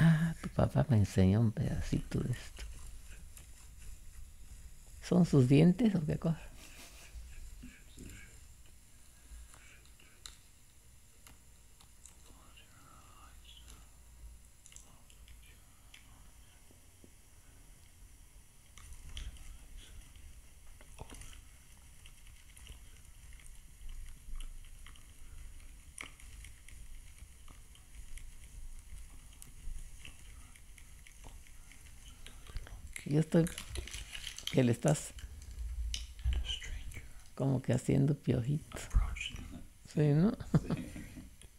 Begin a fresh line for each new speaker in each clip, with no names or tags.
Ah, tu papá me enseñó un pedacito de esto. ¿Son sus dientes o qué cosa? Y esto que le estás como que haciendo piojitos Sí, ¿no?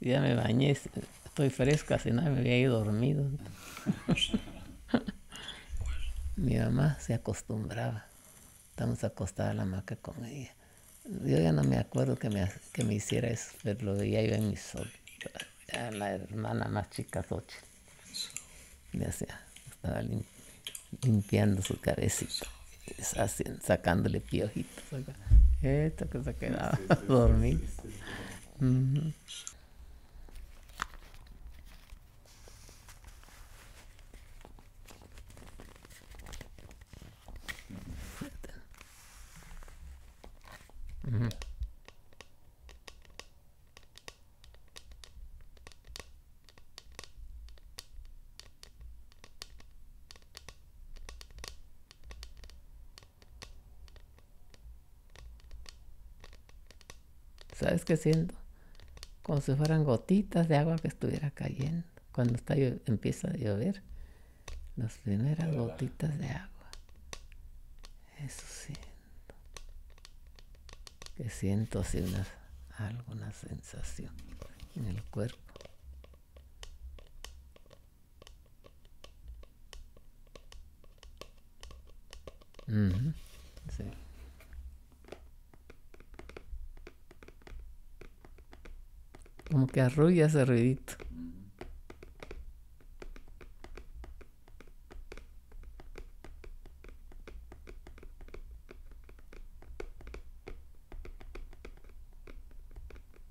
Ya me bañé, estoy fresca, si no me había ido dormido. Mi mamá se acostumbraba. Estamos acostados a la maca con ella. Yo ya no me acuerdo que me, que me hiciera eso, pero lo veía yo en mi sol. la hermana más chica, Sochi. Ya sea, estaba limpiando su cabecita, sacándole piojito. Esta Esto que se ha ¿Sabes qué siento? Como si fueran gotitas de agua que estuviera cayendo. Cuando está, empieza a llover, las primeras gotitas de agua. Eso siento. Que siento así alguna sensación en el cuerpo. Uh sí. Como que arrulla ese ruidito.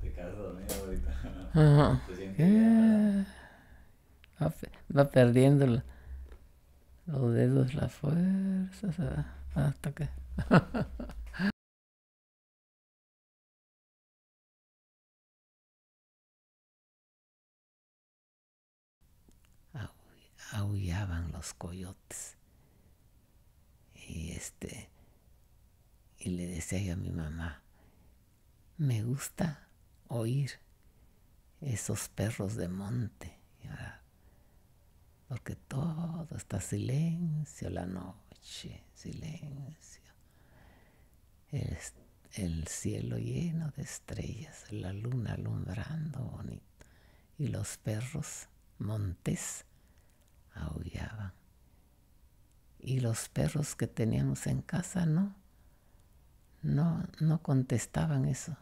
Te caso, dormido ahorita. Ajá. Ah, va, va, perdiendo los dedos, las fuerzas, hasta que... aullaban los coyotes. Y este y le decía a mi mamá, me gusta oír esos perros de monte, porque todo está silencio la noche, silencio el, cielo lleno de estrellas, la luna alumbrando bonito, y los perros montés aullaban. Y los perros que teníamos en casa no, no, contestaban eso.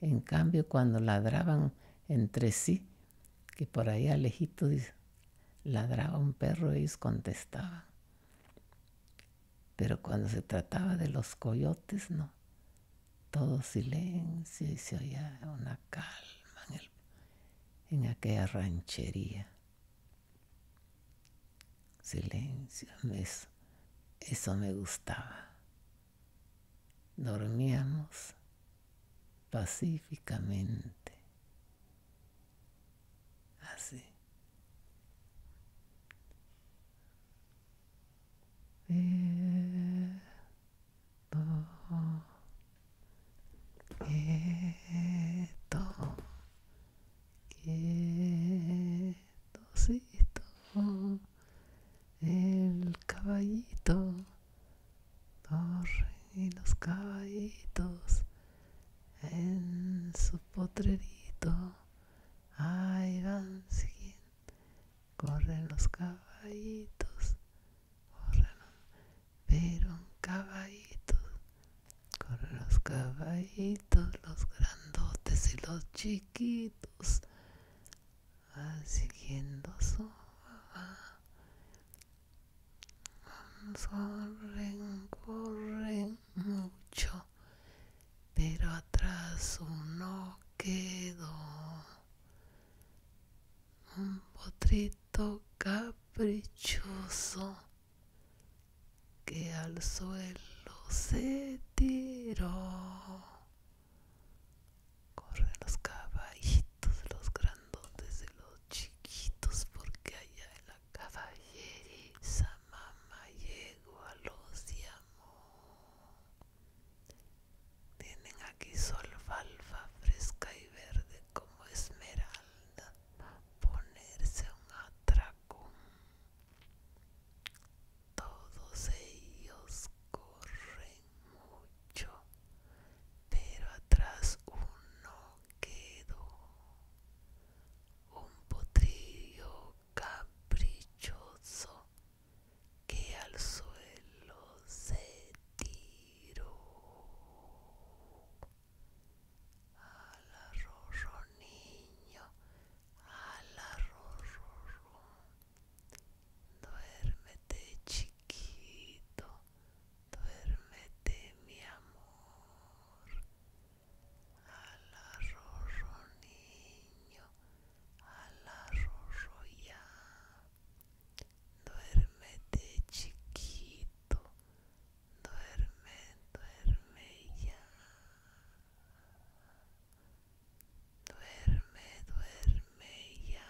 En cambio, cuando ladraban entre sí, que por ahí alejito ladraba un perro, ellos contestaban. Pero cuando se trataba de los coyotes, no. Todo silencio y se oía una calma en, aquella ranchería. Silencio, eso me gustaba. Dormíamos pacíficamente Así. quieto quieto quietocito, el caballito, torre los caballitos en su potrerito. Ahí van, siguiendo, corren los caballitos, corren, pero caballitos, corren los caballitos, los grandotes y los chiquitos, van siguiendo su Corren, corren, mucho, pero atrás uno quedó. Un potrito caprichoso que al suelo se tiró. Corren los caballitos, los grandotes de los chiquitos, porque allá en la caballeriza mamá a los llamó. Tienen aquí solfalfa fresca y verde como esmeralda, ponerse un atracón. Todos ellos corren mucho, pero atrás uno quedó un potrillo caprichoso que al suelo se tiró. Al ron niño, al duerme duérmete chiquito, duérmete mi amor. Alarroso niño, alarroso ya. Duérmete chiquito, duerme, duerme ya. Duerme, duerme ya.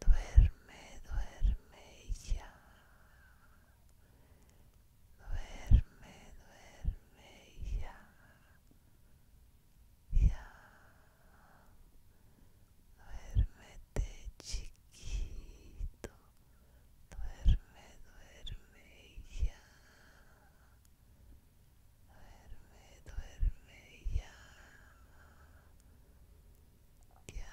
Duerme, duerme ya. Duerme, duerme ya. Ya. te chiquito. Duerme, duerme ya. Duerme, duerme ya. Ya.